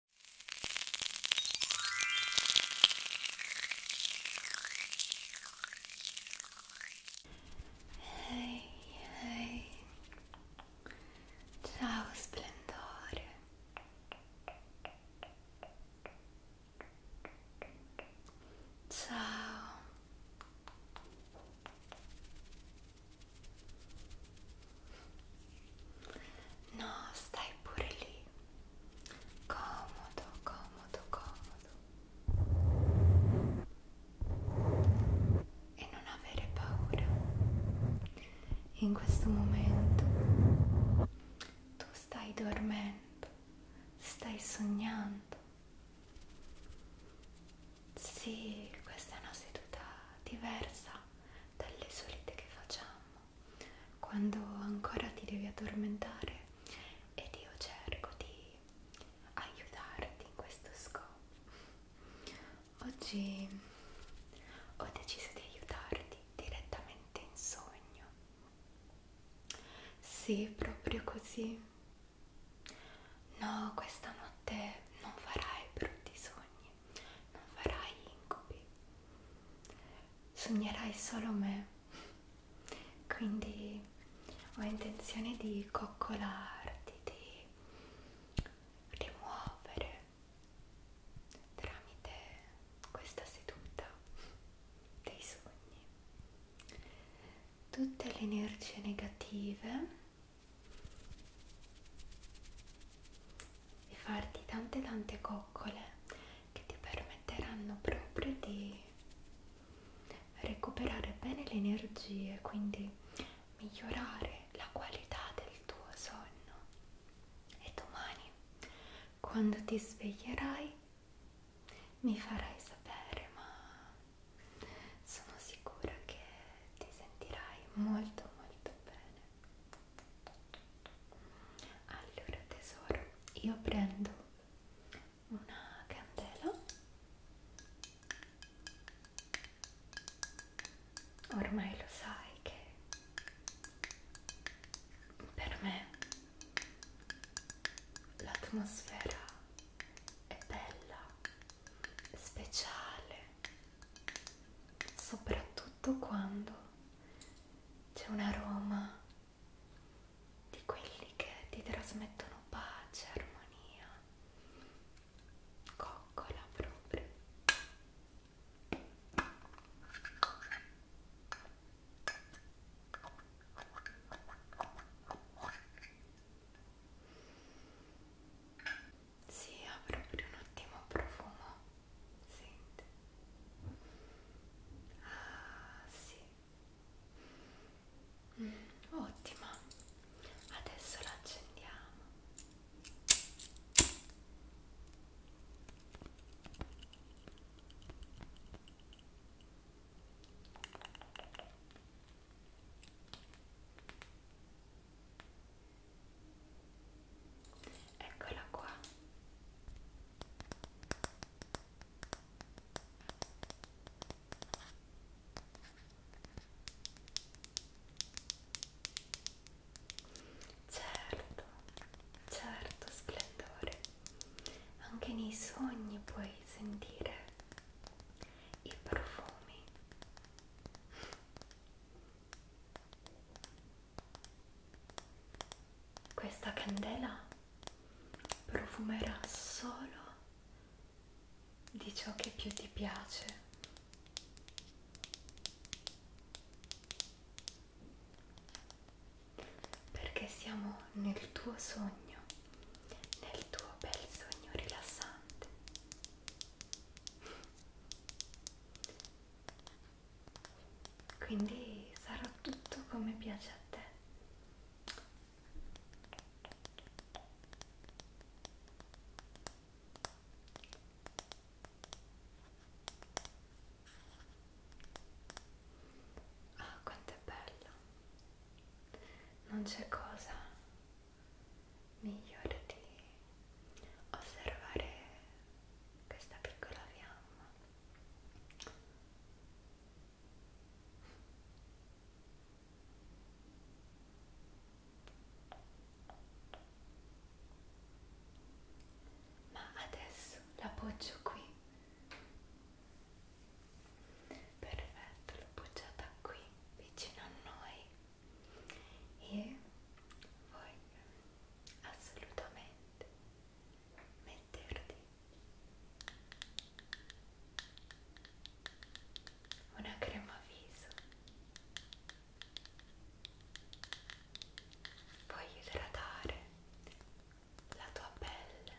Ehi, ehi. Ciao splendore. Ciao. No, stai pure lì. Comodo, comodo, comodo. E non avere paura. In questo momento tu stai dormendo, stai sognando. Sì, questa è una seduta diversa dalle solite che facciamo quando ancora ti devi addormentare ed io cerco di aiutarti in questo scopo. Oggi ho deciso di aiutarti direttamente in sogno. Sì, proprio così. No, questa notte non farai brutti sogni non farai incubi, sognerai solo me, quindi ho intenzione di coccolarti, di rimuovere tramite questa seduta dei sogni tutte le energie negative e farti tante tante coccole che ti permetteranno proprio di recuperare bene le energie quindi migliorare la qualità del tuo sonno e domani quando ti sveglierai mi farai sapere ma sono sicura che ti sentirai molto molto bene allora tesoro, io prendo una candela. Ormai lo sai che per me l'atmosfera è bella, speciale, soprattutto quando c'è un aroma di quelli che ti trasmettono pace, armonia, coccola proprio. Sì, ha proprio un ottimo profumo senti ah sì mm, ottima adesso la accendiamo Eccola qua. Certo, certo splendore. Anche nei sogni puoi sentire i profumi. Questa candela profumerà solo di ciò che più ti piace. Perché siamo nel tuo sogno, nel tuo bel sogno rilassante quindi sarà tutto come piace a te ah oh, quanto è bello non c'è cosa migliore di osservare questa piccola fiamma ma adesso l'appoggio qui perfetto l'ho appoggiata qui vicino a noi e voglio assolutamente metterti una crema viso puoi idratare la tua pelle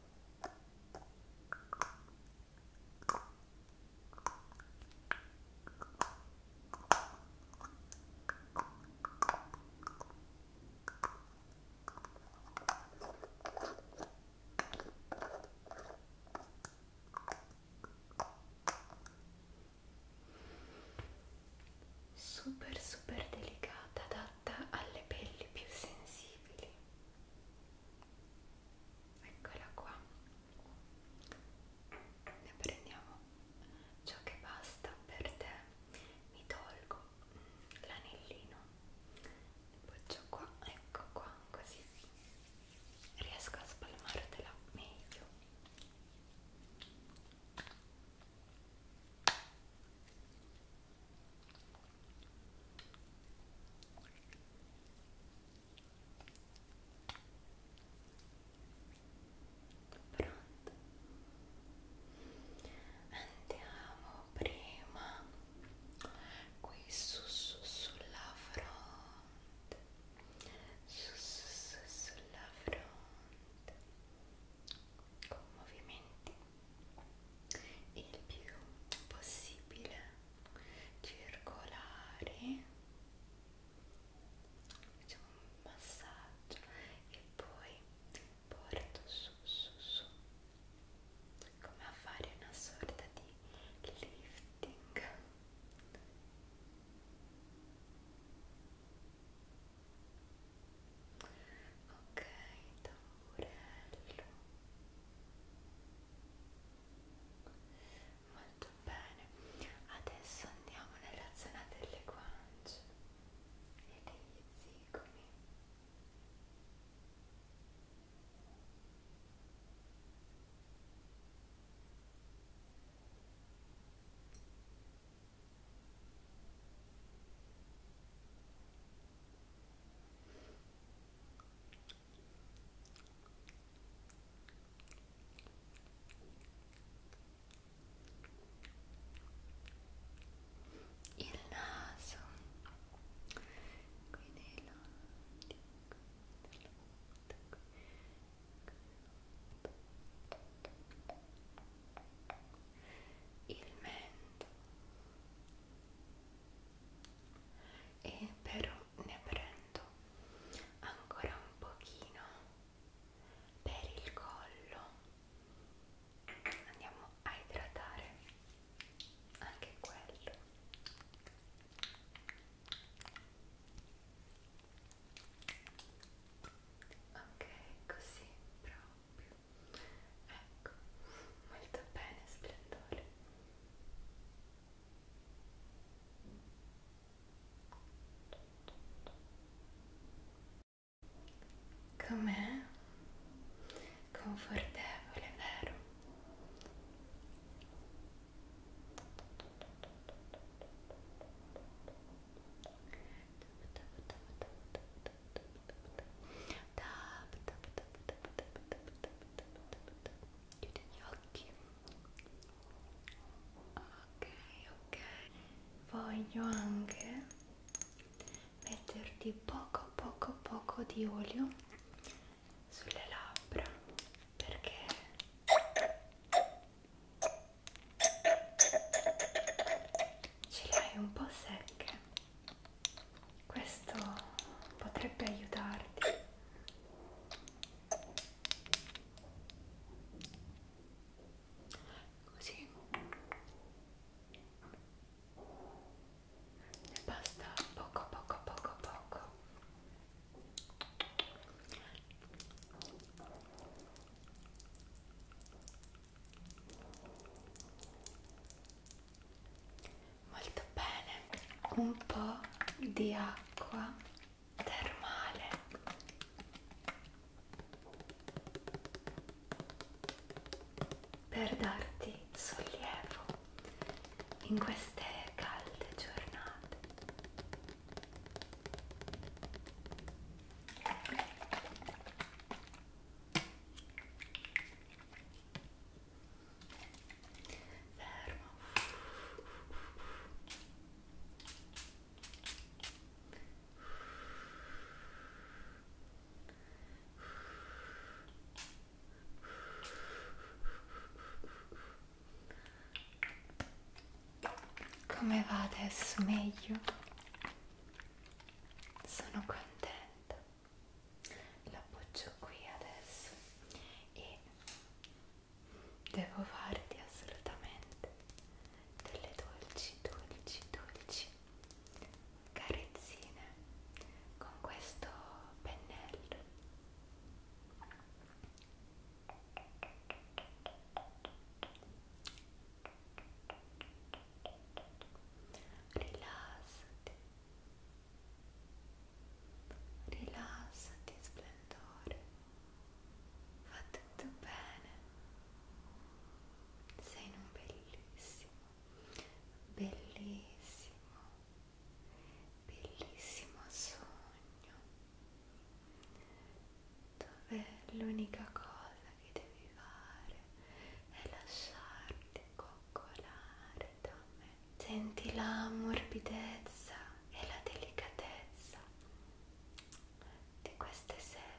super super delicata adatta alle pelli più sensibili eccola qua ne prendiamo ciò che basta per te mi tolgo l'anellino poggiò qua ecco qua così riesco a spalmartela meglio Pronto? Andiamo prima qui su su sulla fronte, su su su sulla fronte, con movimenti il più possibile circolare facciamo un massaggio e poi porto su su su come a fare una sorta di lifting ok tamburello molto bene adesso andiamo nella zona delle guance e degli zigomi ok il naso qui nei lati il mento e però ne prendo ancora un pochino per il collo andiamo a idratare anche quello ok così proprio Ecco, molto bene, splendore. Com'è? Confortevole, vero? tap tap tap tap tap tap tap tap chiudi gli occhi ok ok voglio anche metterti poco poco poco di olio sulle labbra perché ce le hai un po' secche questo potrebbe aiutarti così ne basta poco poco poco poco molto bene un po' di acqua termale per darti sollievo in queste calde giornate fermo come va adesso meglio sono contenta l'appoggio qui adesso e devo farti assolutamente delle dolci, dolci, dolci carezzine con questo pennello rilassati rilassati splendore fa tutto bene sei in un bellissimo bellissimo bellissimo sogno dove l'unica cosa che devi fare è lasciarti coccolare fredda a me. Senti la morbidezza e la delicatezza di queste setole.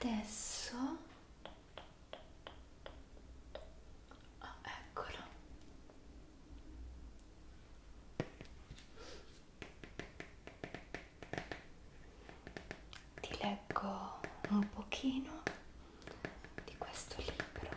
Adesso oh, eccolo. Ti leggo un pochino di questo libro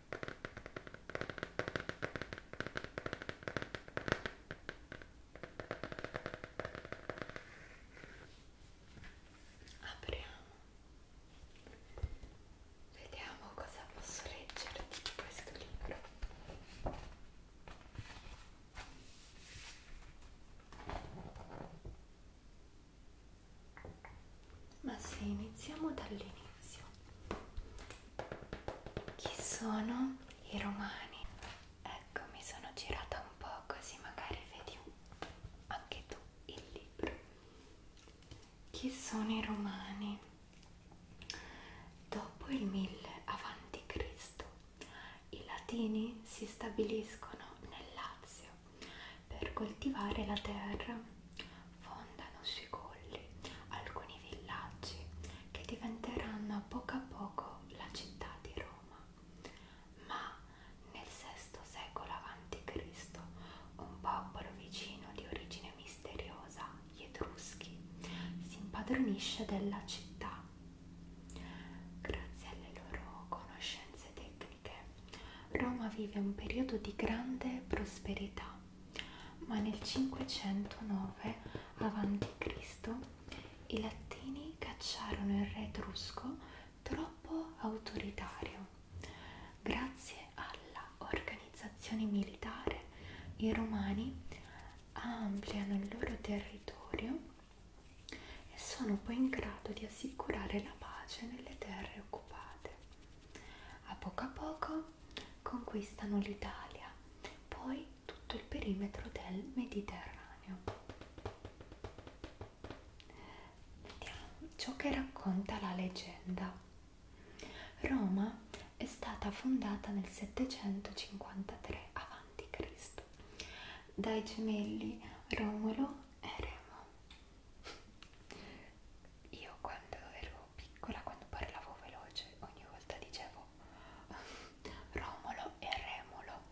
Apriamo. Vediamo cosa posso leggere di questo libro. Ma se iniziamo dall'inizio inizio chi sono i romani ecco mi sono girata un po così magari vedi anche tu il libro chi sono i romani dopo il 1000 avanti cristo i latini si stabiliscono nel lazio per coltivare la terra fondano sui colli alcuni villaggi che diventeranno a poco a poco la città di Roma. Ma nel VI secolo a.C. un popolo vicino di origine misteriosa, gli Etruschi, si impadronisce della città. Grazie alle loro conoscenze tecniche, Roma vive un periodo di grande prosperità ma nel 509 a.C. i latini cacciarono il re etrusco troppo autoritario. Grazie alla organizzazione militare, i romani ampliano il loro territorio e sono poi in grado di assicurare la pace nelle terre occupate. A poco a poco conquistano l'Italia, poi tutto il perimetro del Mediterraneo. Vediamo ciò che racconta la leggenda. Roma è stata fondata nel 753 a.C. dai gemelli Romolo e Remo io quando ero piccola, quando parlavo veloce, ogni volta dicevo Romolo e Remolo.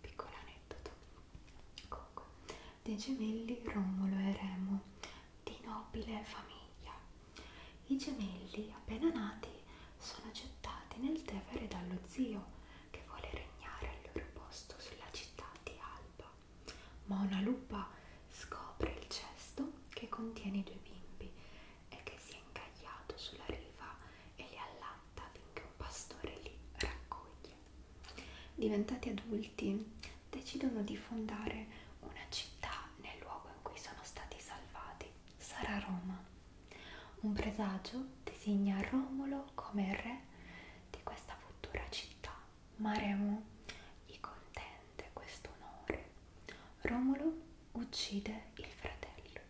Piccolo aneddoto. Comunque, dei gemelli Romolo e Remo, di nobile famiglia. I gemelli, appena nati, sono gettati nel Tevere dallo zio che vuole regnare al loro posto sulla città di Alba ma una lupa scopre il cesto che contiene i due bimbi e che si è incagliato sulla riva e li allatta finché un pastore li raccoglie. Diventati adulti, decidono di fondare una città nel luogo in cui sono stati salvati. Sarà Roma. Un presagio designa Romolo come re di questa futura città Maremo gli contende questo onore. Romolo uccide il fratello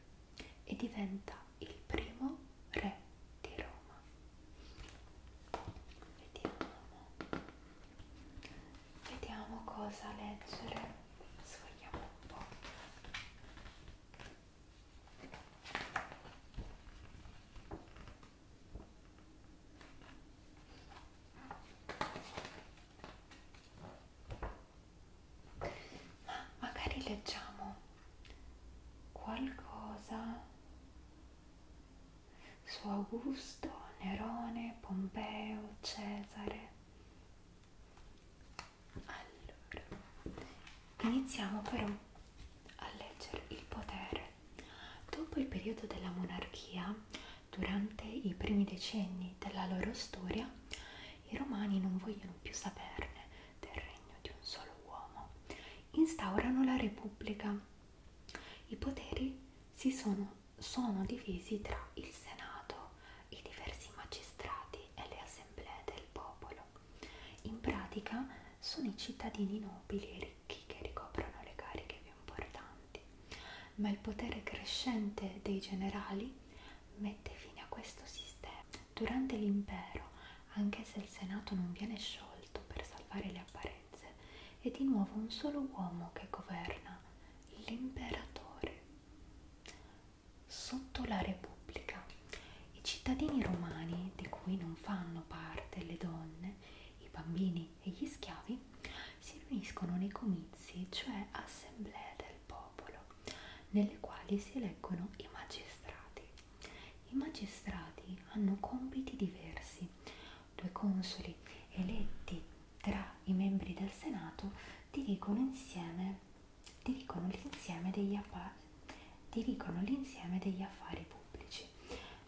e diventa il primo re di Roma. Vediamo, vediamo cosa leggere. Sfogliamo un po'. Ma magari leggiamo qualcosa su Augusto, Nerone, Pompeo, Cesare. Allora, iniziamo però a leggere il potere. Dopo il periodo della monarchia, durante i primi decenni della loro storia i romani non vogliono più saperne del regno di un solo uomo. Instaurano la repubblica. I poteri si sono, sono divisi tra il senato, i diversi magistrati e le assemblee del popolo. In pratica sono i cittadini nobili e ricchi che ricoprono le cariche più importanti, ma il potere crescente dei generali mette fine a questo sistema. Durante l'impero, anche se il Senato non viene sciolto per salvare le apparenze, è di nuovo un solo uomo che governa, l'imperatore. Sotto la Repubblica, i cittadini romani, di cui non fanno parte le donne, i bambini e gli schiavi si riuniscono nei comizi, cioè assemblee del popolo, nelle quali si eleggono i magistrati. I magistrati hanno compiti diversi. Due consoli eletti tra i membri del Senato dirigono insieme dirigono l'insieme degli, degli affari pubblici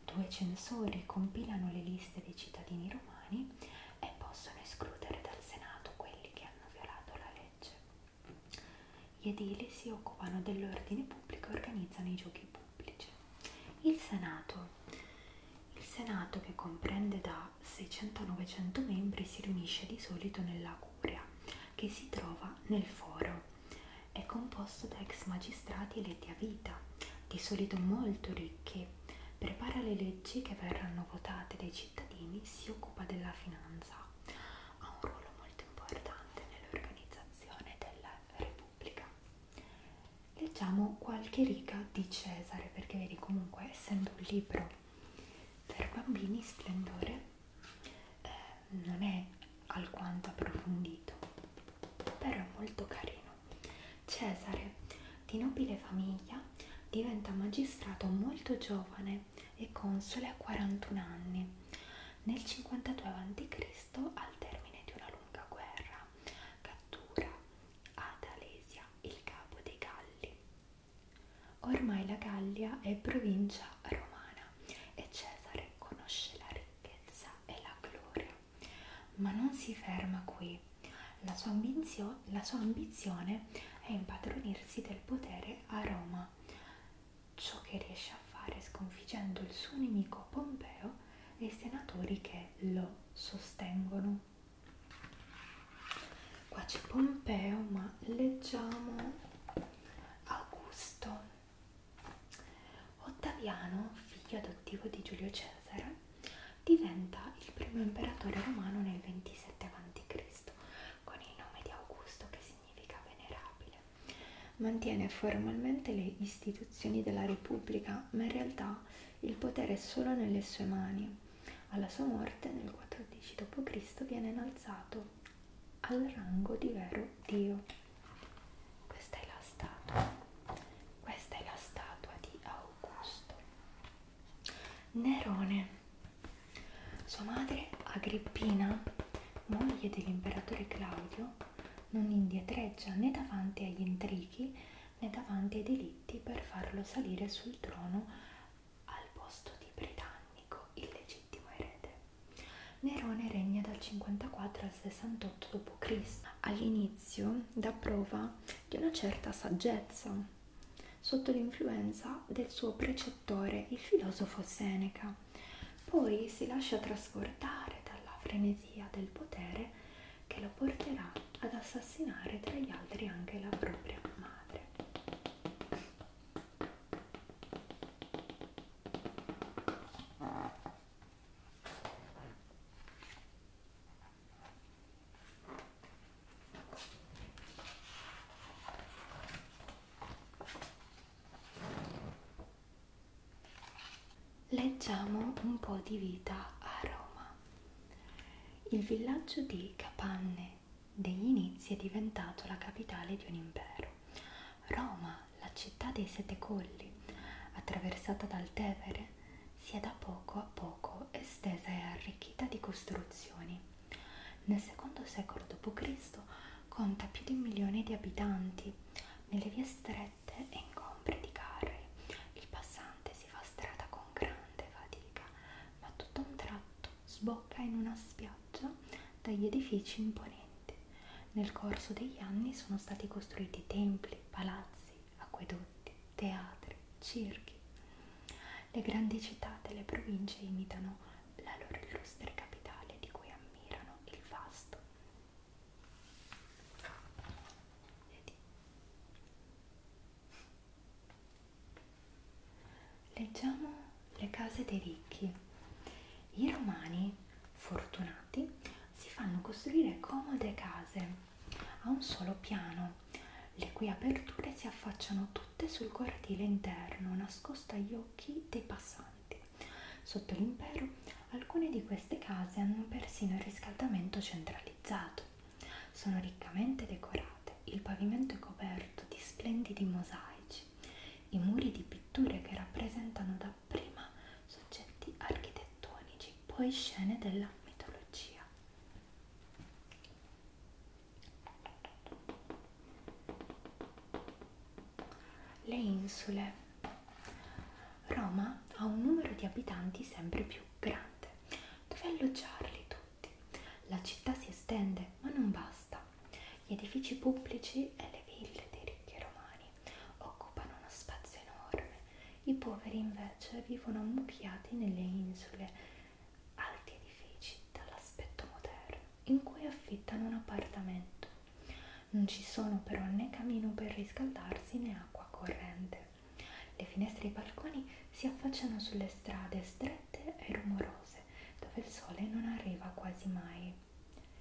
Due censori compilano le liste dei cittadini romani e possono escludere dal Senato quelli che hanno violato la legge. Gli edili si occupano dell'ordine pubblico e organizzano i giochi pubblici. Il Senato. Il Senato, che comprende da 600 a 900 membri, si riunisce di solito nella Curia, che si trova nel Foro. È composto da ex magistrati eletti a vita, di solito molto ricchi prepara le leggi che verranno votate dai cittadini, si occupa della finanza, ha un ruolo molto importante nell'organizzazione della Repubblica. Leggiamo qualche riga di Cesare, perché vedi comunque essendo un libro per bambini splendore, eh, non è alquanto approfondito, però è molto carino. Cesare, di nobile famiglia, diventa magistrato molto giovane e console a 41 anni. Nel 52 a.C., al termine di una lunga guerra, cattura ad Alesia il capo dei Galli. Ormai la Gallia è provincia romana e Cesare conosce la ricchezza e la gloria ma non si ferma qui. La sua, ambizio, la sua ambizione è impadronirsi del potere a Roma. Ciò che riesce a fare sconfiggendo il suo nemico Pompeo e i senatori che lo sostengono. Qua c'è Pompeo, ma leggiamo Augusto. Ottaviano, figlio adottivo di Giulio Cesare, diventa il primo imperatore romano nel 27 a.C. con il nome di Augusto che significa venerabile. Mantiene formalmente le istituzioni della Repubblica, ma in realtà il potere è solo nelle sue mani. Alla sua morte nel 14 d.C. viene innalzato al rango di vero Dio. Questa è la statua. Questa è la statua di Augusto. Augusto. Nerone. Sua madre, Agrippina, moglie dell'imperatore Claudio, non indietreggia né davanti agli intrighi né davanti ai delitti per farlo salire sul trono al posto di britannico, il legittimo erede. Nerone regna dal 54 al 68 d.C all'inizio dà prova di una certa saggezza sotto l'influenza del suo precettore, il filosofo Seneca, poi si lascia trasportare dalla frenesia del potere che lo porterà ad assassinare tra gli altri anche la propria madre. Leggiamo un po' di vita a Roma. Il villaggio di Capanne degli inizi è diventato la capitale di un impero. Roma, la città dei sette colli, attraversata dal Tevere, si è da poco a poco estesa e arricchita di costruzioni. Nel secondo secolo d.C. conta più di un milione di abitanti, nelle vie strette e incompre di carri. Il passante si fa strada con grande fatica, ma tutto un tratto sbocca in una spiaggia dagli edifici imponenti. Nel corso degli anni sono stati costruiti templi, palazzi, acquedotti, teatri, circhi. Le grandi città delle province imitano la loro illustre capitale di cui ammirano il vasto. Vedi? Leggiamo le case dei ricchi. I romani fortunati si fanno costruire comode case ha un solo piano, le cui aperture si affacciano tutte sul cortile interno, nascosto agli occhi dei passanti. Sotto l'impero, alcune di queste case hanno persino il riscaldamento centralizzato. Sono riccamente decorate, il pavimento è coperto di splendidi mosaici, i muri di pitture che rappresentano dapprima soggetti architettonici, poi scene della mitologia le insule. Roma ha un numero di abitanti sempre più grande. Dove alloggiarli tutti? La città si estende, ma non basta. Gli edifici pubblici e le ville dei ricchi romani occupano uno spazio enorme i poveri invece vivono ammucchiati nelle isole alti edifici dall'aspetto moderno in cui affittano un appartamento. Non ci sono però né camino per riscaldarsi né acqua corrente. Le finestre e i balconi si affacciano sulle strade strette e rumorose dove il sole non arriva quasi mai.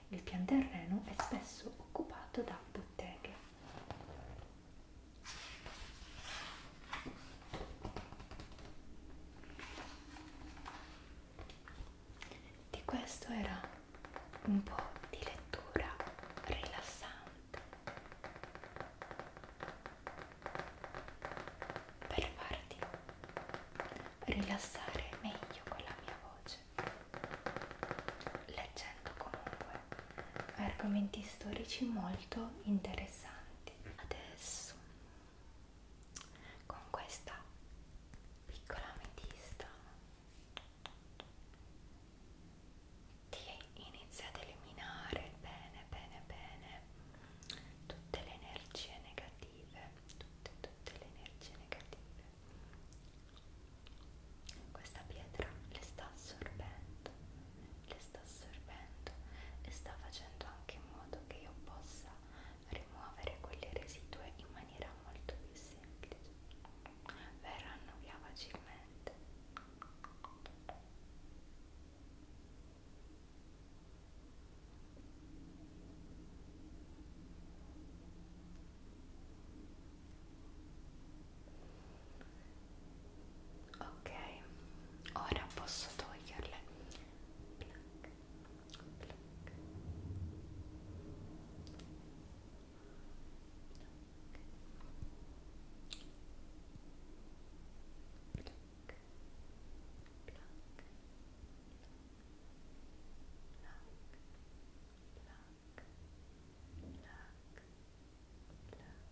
Il pian terreno è spesso occupato da botteghe di questo era un po' di lettura rilassante per farti rilassare meglio con la mia voce leggendo comunque argomenti storici molto interessanti. Adesso con questa piccola ametista ti inizia ad eliminare bene bene bene tutte le energie negative tutte tutte le energie negative questa pietra le sta assorbendo, le sta assorbendo e sta facendo anche in modo che io possa rimuovere quelle residue in maniera molto più semplice. Verranno via facilmente ok ora posso toglierle plac, plac. Plac, plac, plac, plac, plac, plac.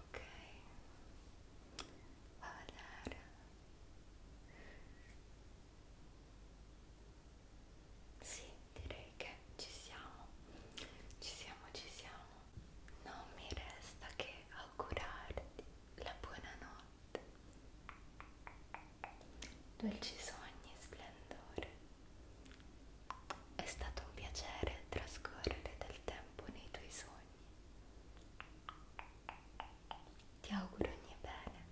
Ok, va a vedere. Sì, direi che ci siamo, ci siamo, ci siamo. Non mi resta che augurarti la buonanotte. Dolci sogni, splendore. È stato un piacere trascorrere del tempo nei tuoi sogni. Ti auguro ogni bene.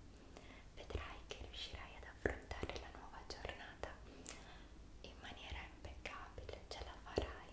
Vedrai che riuscirai ad affrontare la nuova giornata in maniera impeccabile, ce la farai.